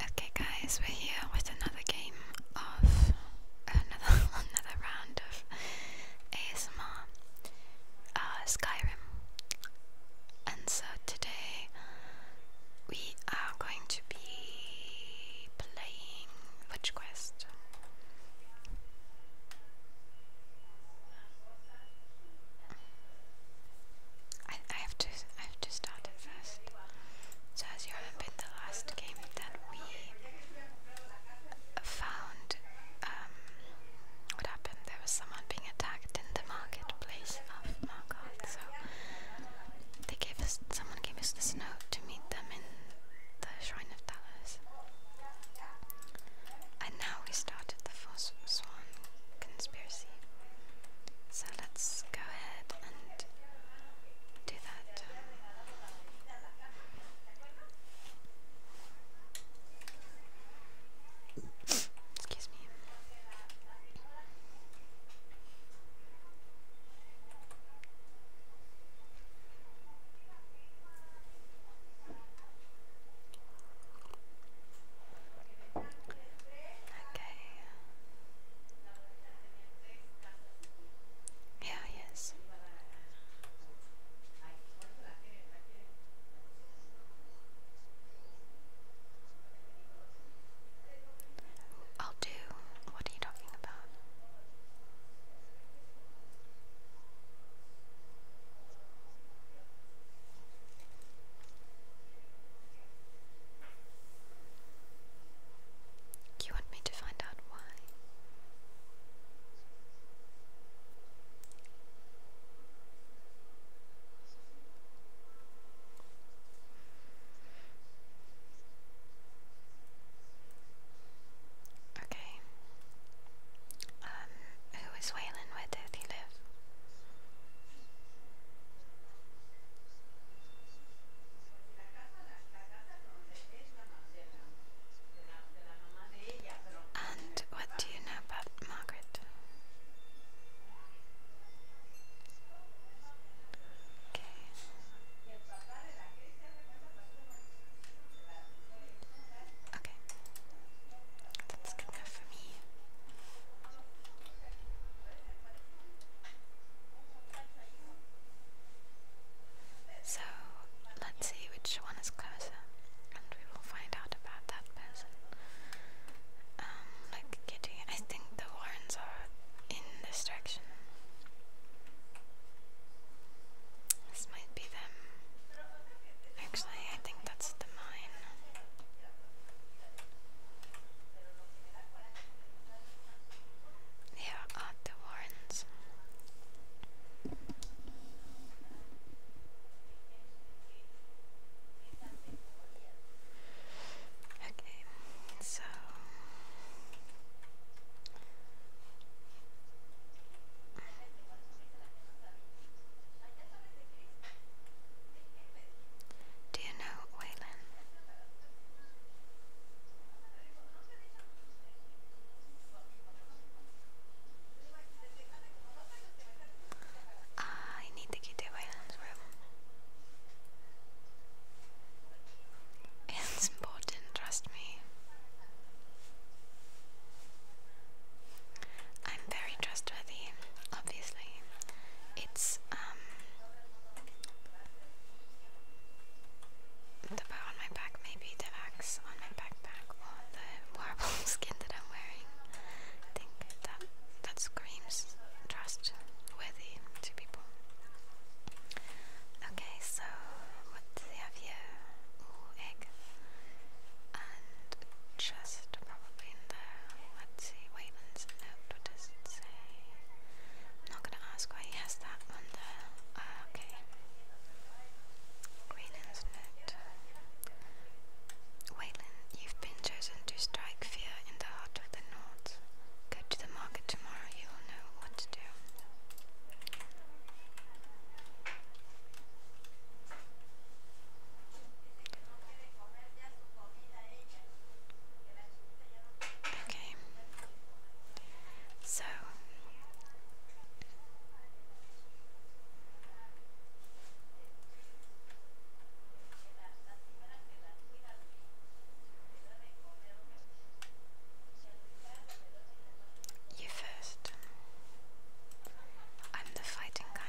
Okay guys, we're here with another game of uh, another another round of ASMR uh, Skyrim. And so today we are going to be playing Witch Quest. I, have to I have to start it first. So as you remember the last game that we found um, what happened? There was someone being attacked in the marketplace of Margoth, so they gave us someone gave us this note to meet them in the Shrine of Talos. And now we started the Force Swan conspiracy. So let's go ahead and do that. Excuse me. Okay. Yeah, yes. I'll do. What are you talking about? You want me to find out why? Okay. Um, who is Waylon Where did he live? And what do you know about Margaret? Okay. Okay. That's good enough for me. So let's see which one is closer, and we will find out about that person. Um, like Kitty, I think the Warrens are in this direction. This might be them. Actually, I think that's the mine. Here are the warrants. Okay, so do you know Waylon? Ah, I need to get to Waylon's room. It's important, trust me. I'm very trustworthy, obviously it's um, the bow on my back, maybe the axe on my backpack, or the warble skin that I'm wearing. think that that screams trust worthy to people. Okay, so what do they have here? Ooh, egg. And just probably in the, let's see, Waitman's note, what does it say? I'm not gonna ask why he has that on there. Ah, okay. Waitman's note. Wayland, you've been chosen to strike fear in the heart of the North. Go to the market tomorrow, you'll know what to do. Okay. So you first. I'm the fighting kind.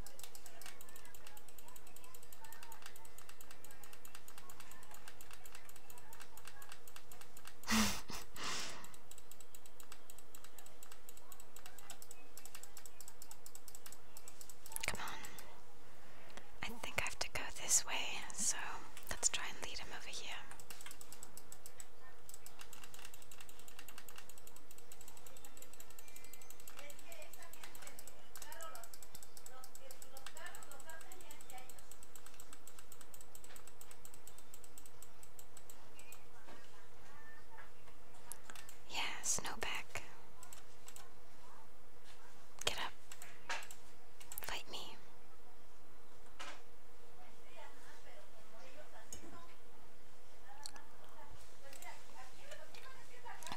Come on. I think I have to go this way, so let's try and lead him over here. Yeah, Snowback. Get up. Fight me.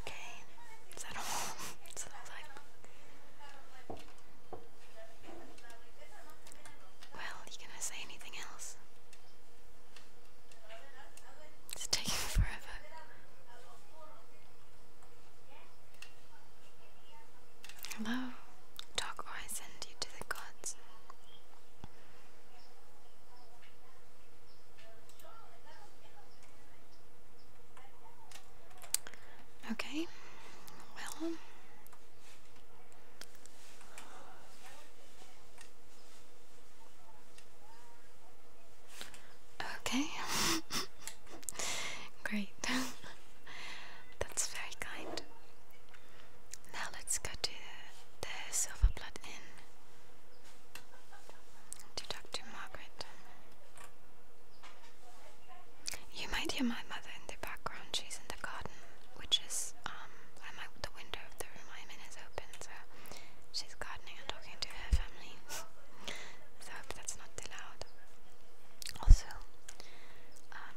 Okay, is that all? Is that like? Well, you gonna say anything else? It's taking forever. Hello, talk or I send you to the gods. Okay, well, okay, great, that's very kind. Now let's go to the silver blood to Dr. Margaret. You might hear my mother in the background, she's in the garden, which is um I'm out the window of the room I'm is open, so she's gardening and talking to her family. so that's not too loud. Also, um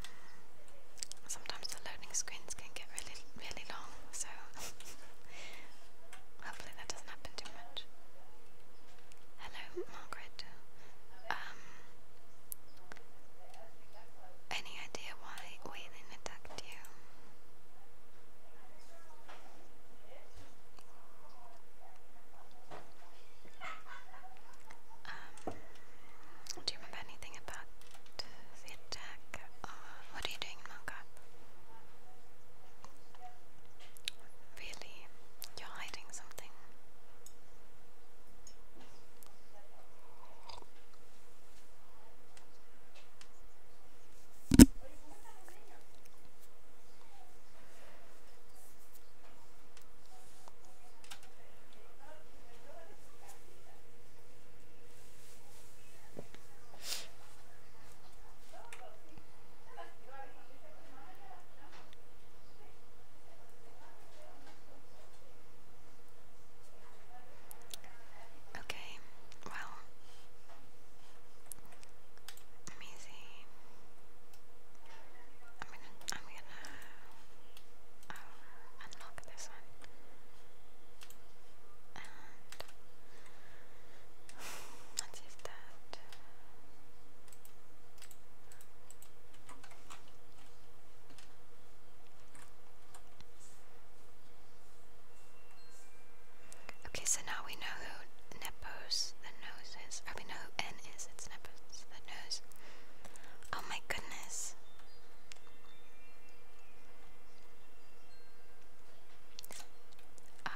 sometimes the loading screens can get really really long, so Hopefully that doesn't happen too much. Hello, Margaret. Um, any idea why Waylon attacked you? Um, do you remember anything about feedback. Uh, what are you doing, Manga? Really? You're hiding something? Okay, well, I'm gonna, I'm gonna um, unlock this one. Okay, so now we know who Nepos the nose is. Or we know who N is. It's Nepos the nose. Oh my goodness. Um,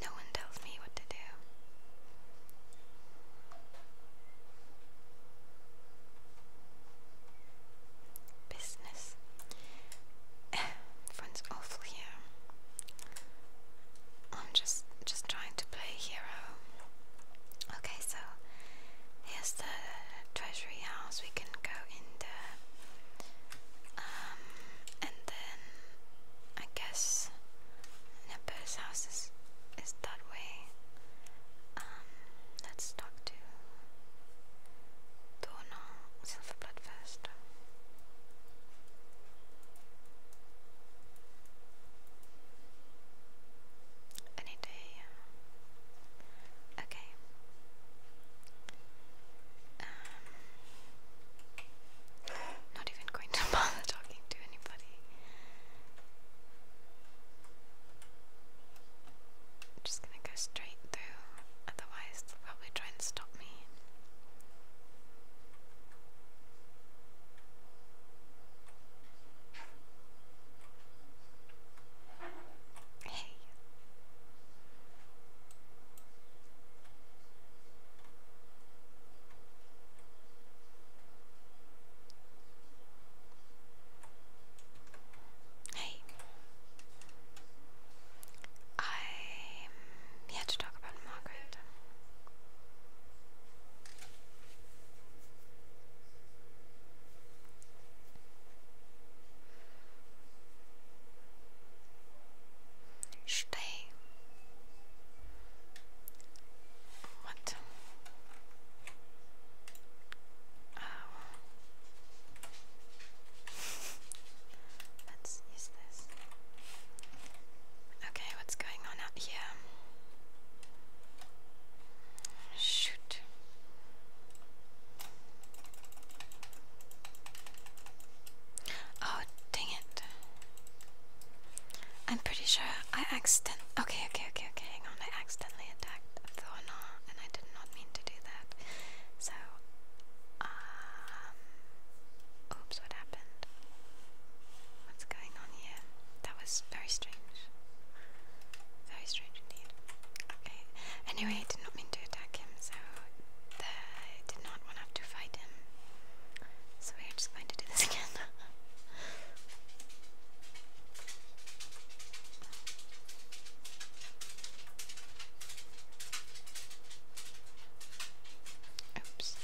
no one tells me what to do. Business. Friends awful here. I'm just just trying to play hero. Okay, so here's the treasury house. We can go in the um, and then I guess Nepal's house is, is that way. Um, let's talk to Dona Silverblood first. Any day. Okay. Um, not even going to bother talking to anybody. just gonna go straight through, otherwise they'll probably try and stop me. Hey. Hey. I'm here to talk about Margaret. Stay. What? Um. Let's use this. Okay, what's going on out here? Shoot. Oh, dang it. I'm pretty sure I accident. Okay, okay, okay, okay, hang on. I accidentally attacked Thorna and I did not mean to do that. So, um. Oops, what happened? What's going on here? That was very strange. Very strange indeed. Okay. Anyway, I did not mean to attack him, so I did not want to fight him. So we are just going to do this again. Oops.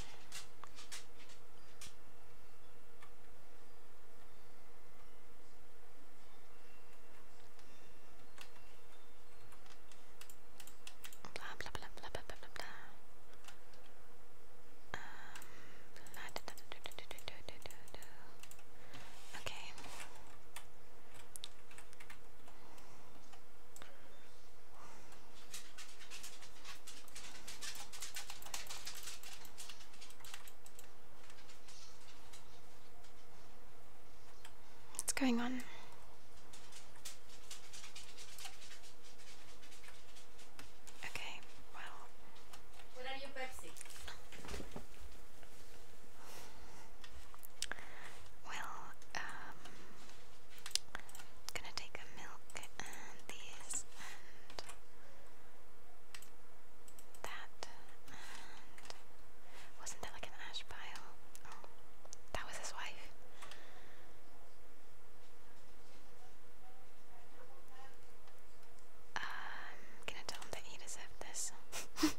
Blah blah blah blah blah blah blah. Um, blah da, da, da, da, da, da, da, da, da. Okay. What's going on? Okay, well. Where are your Pepsi? Well, um, gonna take a milk and these and that wasn't that like an ash pile? Oh, that was his wife. I'm um, gonna tell him that he deserved this.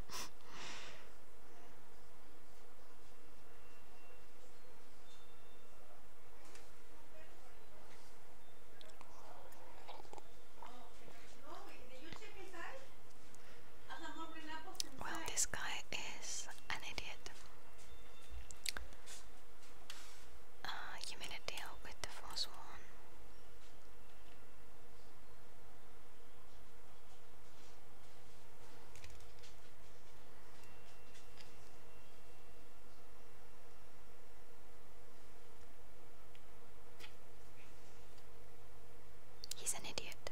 Oh, well, this guy is an idiot. Uh, you made a deal with the Force One. He's an idiot.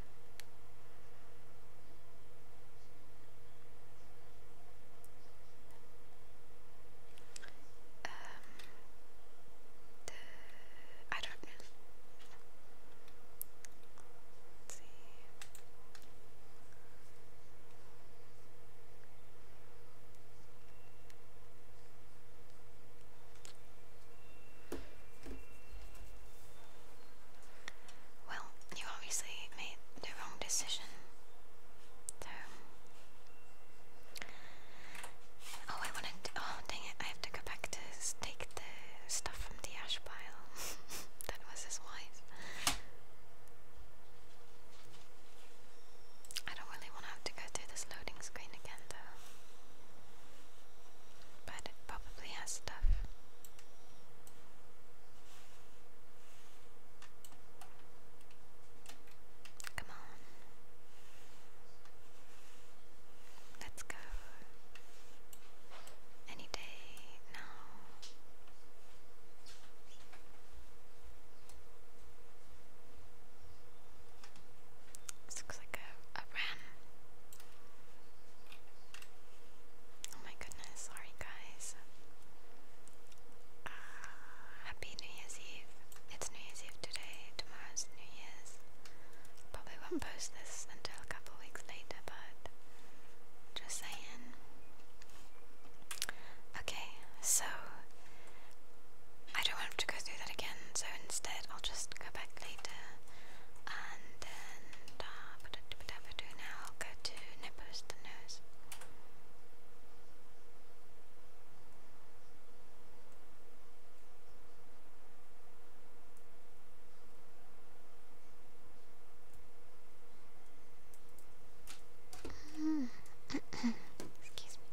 Um, I don't know. Well, you obviously made the wrong decision. So. Oh, I wanted. To, oh, dang it! I have to go back to take the stuff from the ash pile. that was his wife. I don't really want to have to go through this loading screen again, though. But it probably has stuff. Come on. Let's go. Any day now. looks like Oh my goodness, sorry guys. Uh, happy New Year's Eve. It's New Year's Eve today, tomorrow's New Year's. Probably won't post this until a couple weeks later, but just saying. Okay, so I don't want to go through that again, so instead I'll just go back later and then uh, now I'll go to nipples to nose. Excuse me.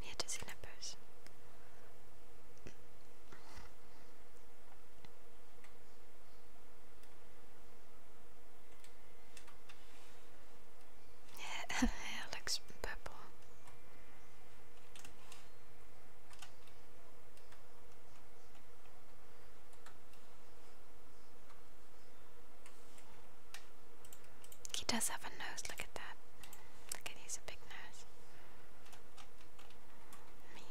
We had to see numbers. Yeah, looks purple. He does have a nose, look at that. Look at he's a big nose. Me.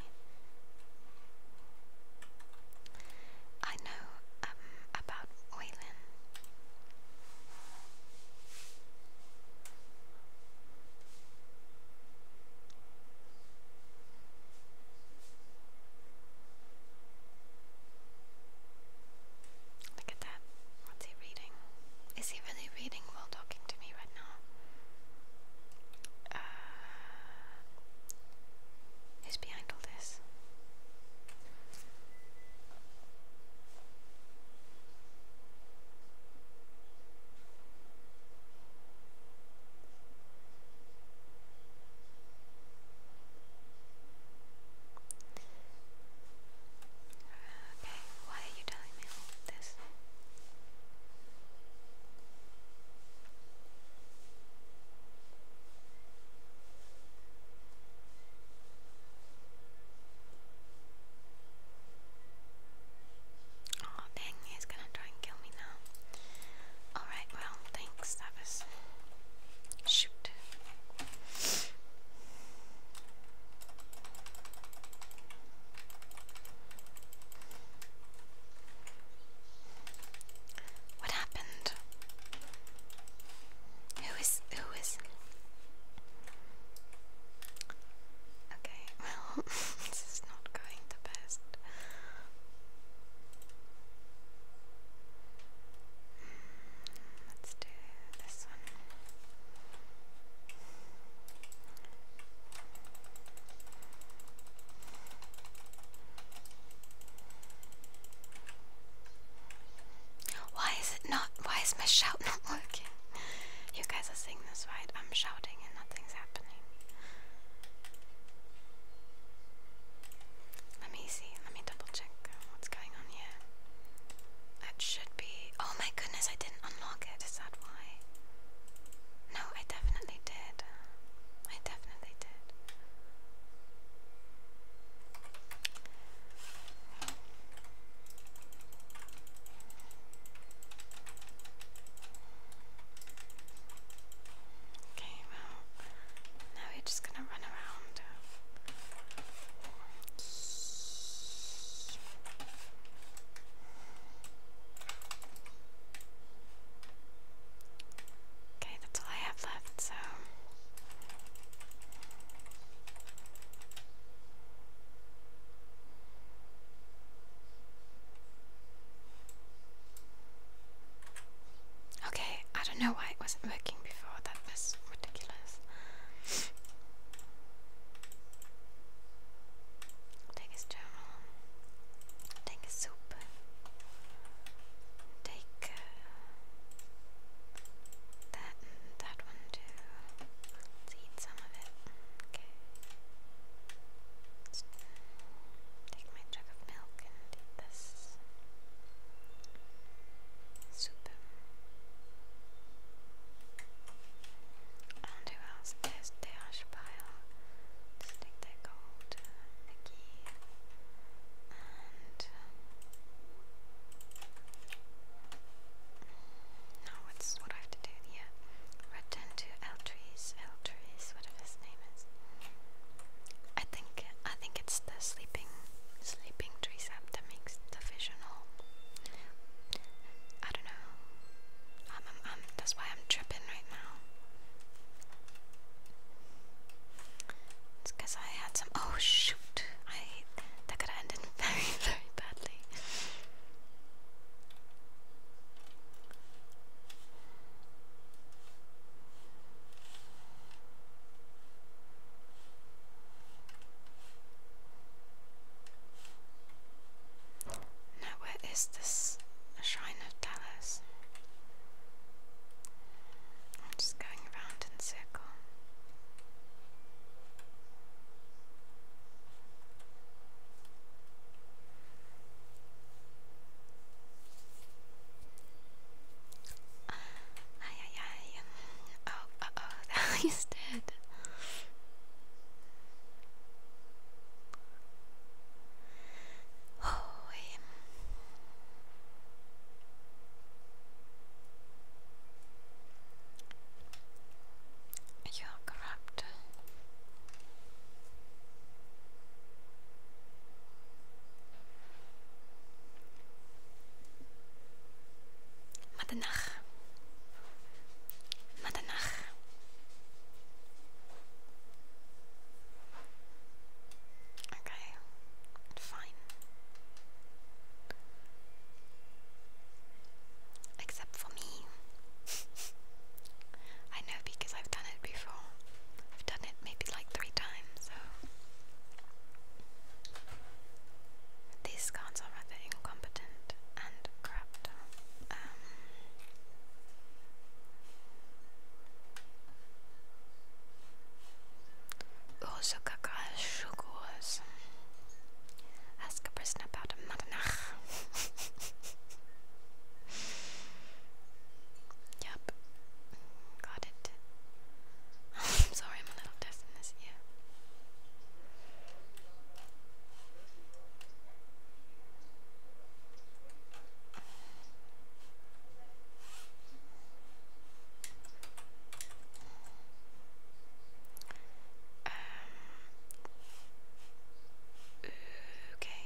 I know um, about Waylon. Look at that. What's he reading? Is he really reading while talking to me right now? who's uh, behind all this? Okay, why are you telling me all of this? Oh dang, he's gonna try and kill me now. Alright, well, thanks, that was... Shoot. What happened? Who is who is Okay, well this is not going the best. Let's do this one. Why is it not? Why is my shout not working? You guys are seeing this, right? I'm shouting and nothing's happening. Let me see. Let me double check what's going on here. That should be. Oh my goodness, I didn't unlock it. Is that why? No, I definitely did. I definitely did. Okay, now we're just gonna run around. Okay, that's all I have left, so. Okay, I don't know why it wasn't working before that was ridiculous. Take his journal. Take his soup. Take uh, that that one too. Let's eat some of it. Okay. Uh, take my jug of milk and eat this. Super. And who else? There's the ash pile. Just take the gold, the key, and mm, now what's what I have to do here? Return to Eltrees, Eltrees, whatever his name is. I think I think it's the sleeping sleeping sleeping that makes the vision all I don't know. that's why I'm tripping right now. It's because I had some. Oh shoot! I that could have ended very very badly. Now, where is this Shrine of Dallas? I'm just going around in a Ay, Oh, oh, oh. that is dead. Oh, You're corrupt. Madanach. Madanach. Okay, fine. Except for me. I know because I've done it before. I've done it maybe like the these cards are rather incompetent and corrupt. Um, also, Kakashukus. Ask a prisoner about a Madanach. yep, Got it. I'm sorry, I'm a little deaf in this ear. Um, okay.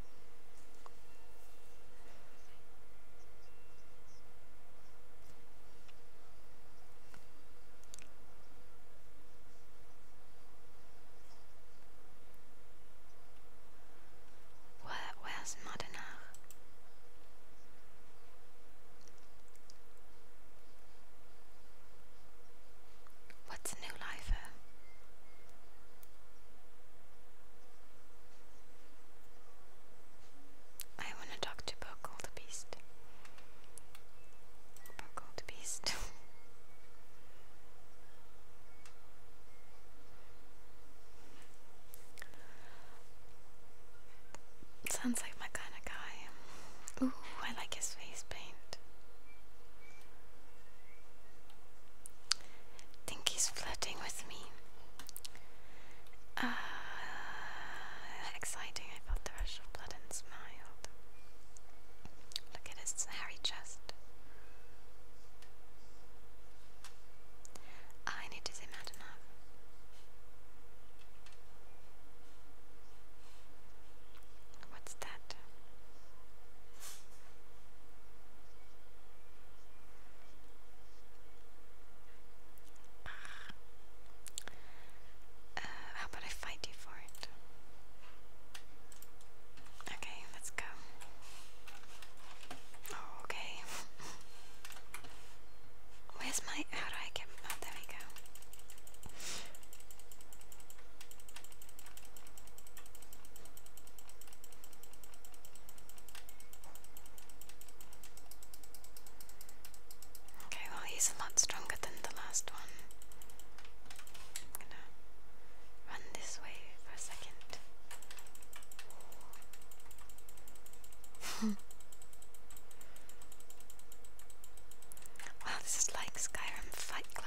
Where, where's Madenach? What's new life? Eh? I wanna talk to Buckle the Beast. Buckle Sounds like my kind of guy. Ooh, I like his face paint think he's flirting with me. Uh, exciting, I felt the rush of blood and smiled. Look at his hairy chest. I need to say mad enough. What's that? Uh, how about I fight you for it? Okay, let's go. Oh, okay. Where's my. How do I get. Oh, there we go. Okay, well, he's a lot stronger than the last one. I'm gonna run this way for a second. wow, this is like Skyrim Fight Club.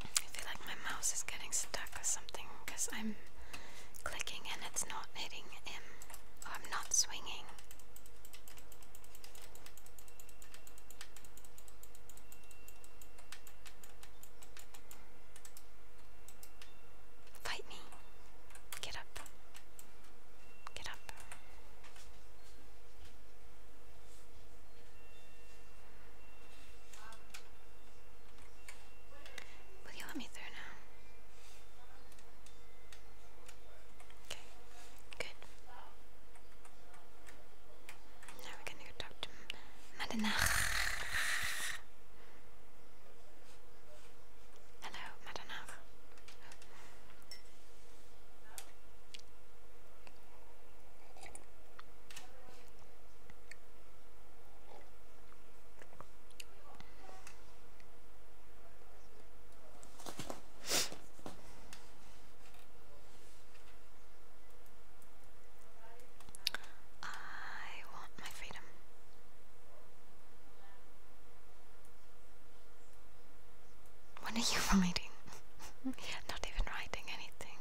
I feel like my mouse is getting stuck or something because I'm clicking and it's not hitting him. I'm not swinging. Fight me. Get up. Get up. Will you let me through now? Okay, good. Now we're gonna go talk to Madana. Hello, Madanov. I want my my are you writing? Not even writing anything.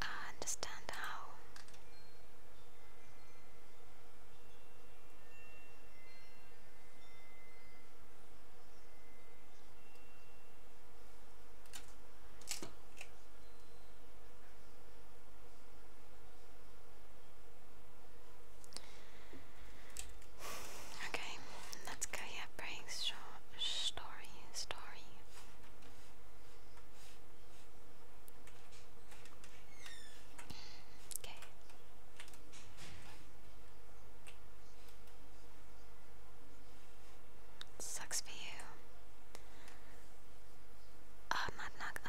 I understand how Okay, let's go yeah, Brake's short story story. Okay. Sucks for you. Uh,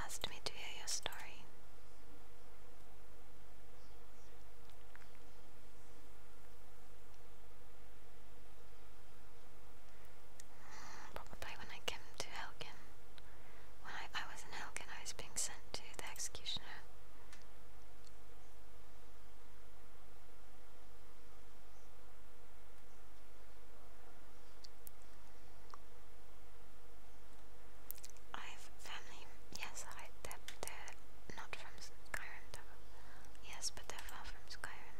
asked me to hear your story. Mm, probably when I came to Helgen. When I, was in Helgen, I was being sent to the executioner. I have family, yes, I, they're not from Skyrim, though. Yes, but they're far from Skyrim.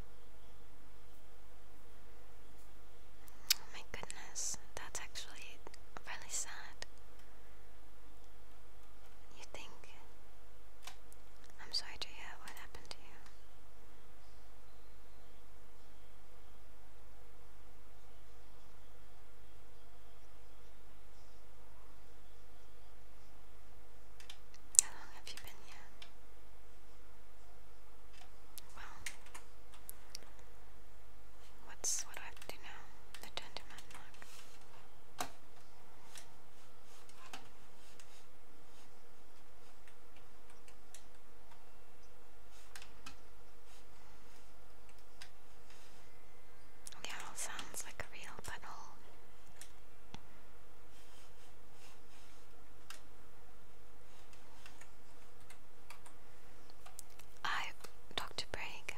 Oh my goodness, that's actually really sad. You think. I'm sorry to hear what happened to you have you been yet? Well, what's what I have to do now? Attend to my knock. Yeah, it all sounds like a real butthole. I, Dr. Bragg,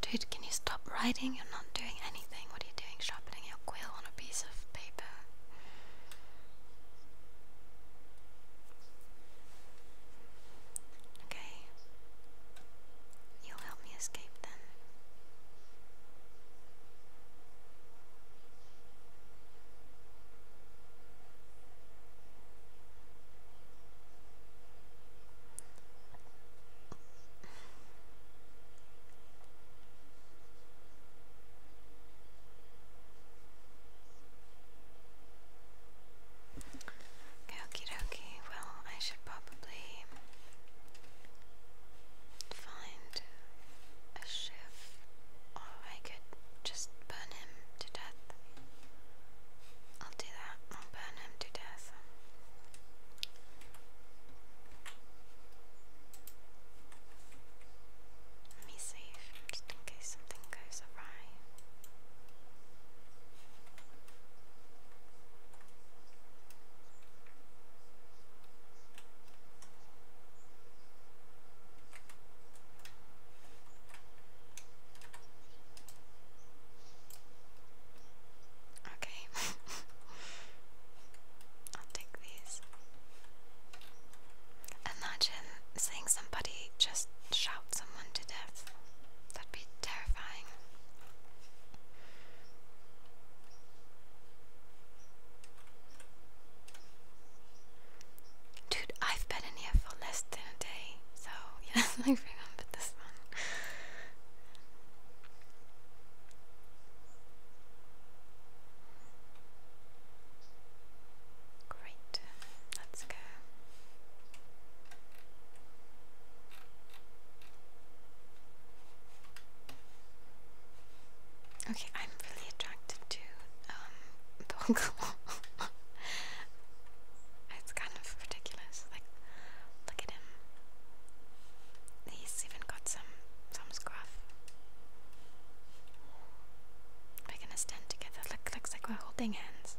dude, can you stop writing? You're not doing anything. What are you doing? Sharpening your quill on a piece of paper. Okay. You'll help me escape then. Okie dokie. Okay, well, I should probably find a chef, or I could just burn him to death. I'll do that, I'll burn him to death. Let me just in case something goes awry. Okay, I'll take these. Imagine seeing somebody just shout someone to death. That'd be terrifying. Dude, I've been in here for less than a day, so yeah, I remember this one. Great, let's go. Okay, I'm really attracted to um Pokemon. it's kind of ridiculous. Like look at him. He's even got some some scruff. We're gonna stand together. Look looks like we're holding hands.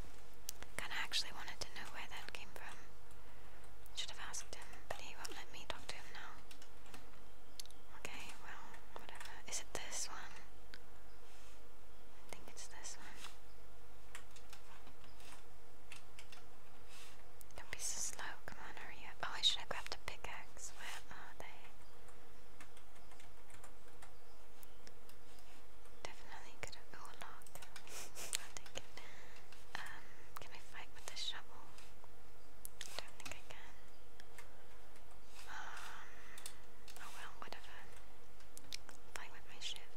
Kinda actually wanted to know where that came from. Should have asked him, but he won't let me talk to him now. Okay, well, whatever. Is it this one? I think it's this one. Don't be so slow, come on, hurry up. Oh, I should have grabbed a pickaxe. Where are they? Definitely could have. Oh, I'll take it. Um, can I fight with the shovel? I don't think I can. Um, oh well, whatever. Fight with my shiv.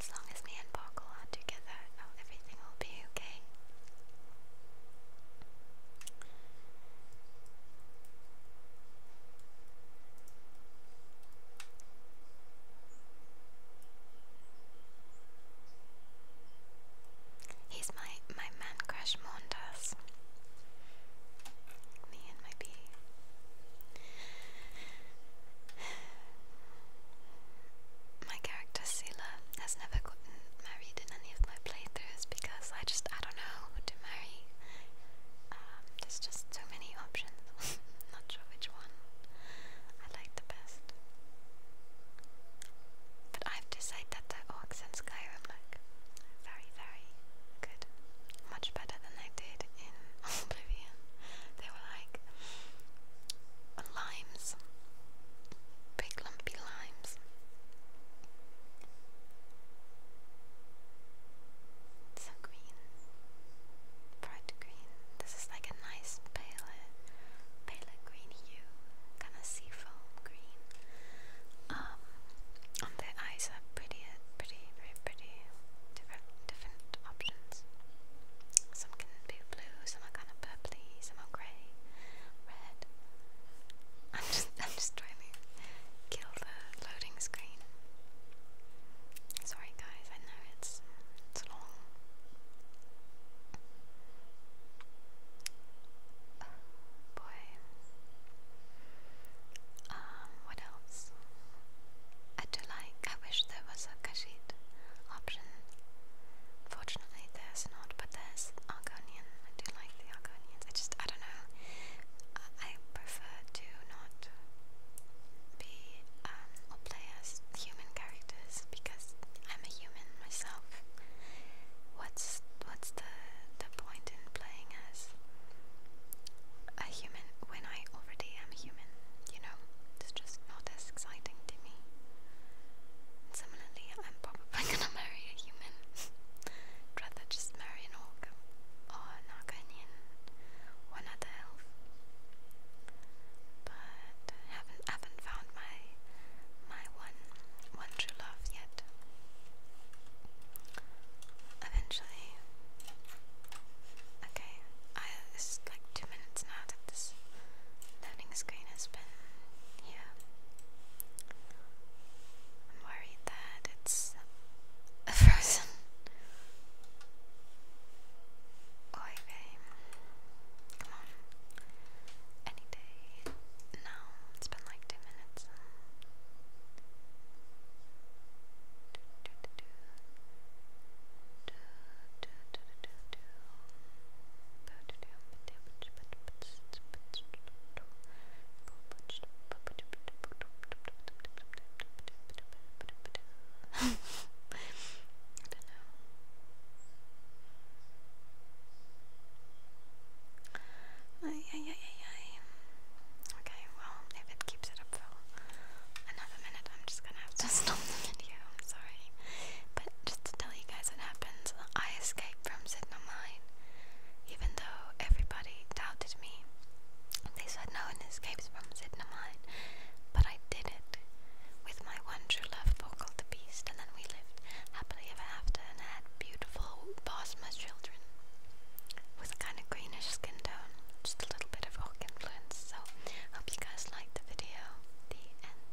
As long as me and Boggle together, oh, everything will be okay. He's my my man crush Mondas. Me and my bee. My character Sela has never gotten married in any of my playthroughs because I just I don't know who to marry. Um, there's just so many options. Not sure which one I like the best. But I've decided that the orcs in Skyrim look very, very good. Much better than they did in Oblivion. They were like limes big lumpy limes. So green, bright green. This is like a nice paler, paler green hue, kind of sea green. Um, the eyes are pretty, pretty, very pretty. Different, different options. Some can be blue, some are kind of purpley, some are grey red. I'm just I'm just trying to kill the loading screen. Sorry guys, I know it's it's long. boy. Um, what else? I do like I wish there was a kashit option Fortunately, there's not, but there's Argonian. I do like the Argonians. I just, I don't know. I, prefer to not be um, or play as human characters because I'm a human myself. What's what's the the point in playing as a human when I already am a human? You know, it's just not as exciting to me. Similarly, I'm probably gonna marry a human rather just marry an orc or an Arcanian or another elf. But haven't haven't found my my one one true love yet. Eventually. Okay, I it's like two minutes now that this loading screen has been here. I'm worried that it's frozen. Oi, babe. Come on. Any day. No, it's been like two minutes. I don't know. Ay, ay, ay, ay, ay. Okay, well, if it keeps it up for another minute, I'm just gonna have to stop the video. sorry. But just to tell you guys what happens, I escape from Even though everybody doubted me, they said no one escapes from Sigma but I did it with my one true love, called the Beast, and then we lived happily ever after and had beautiful Bosma children with a kind of greenish skin tone, just a little bit of rock influence. So, hope you guys liked the video. The end.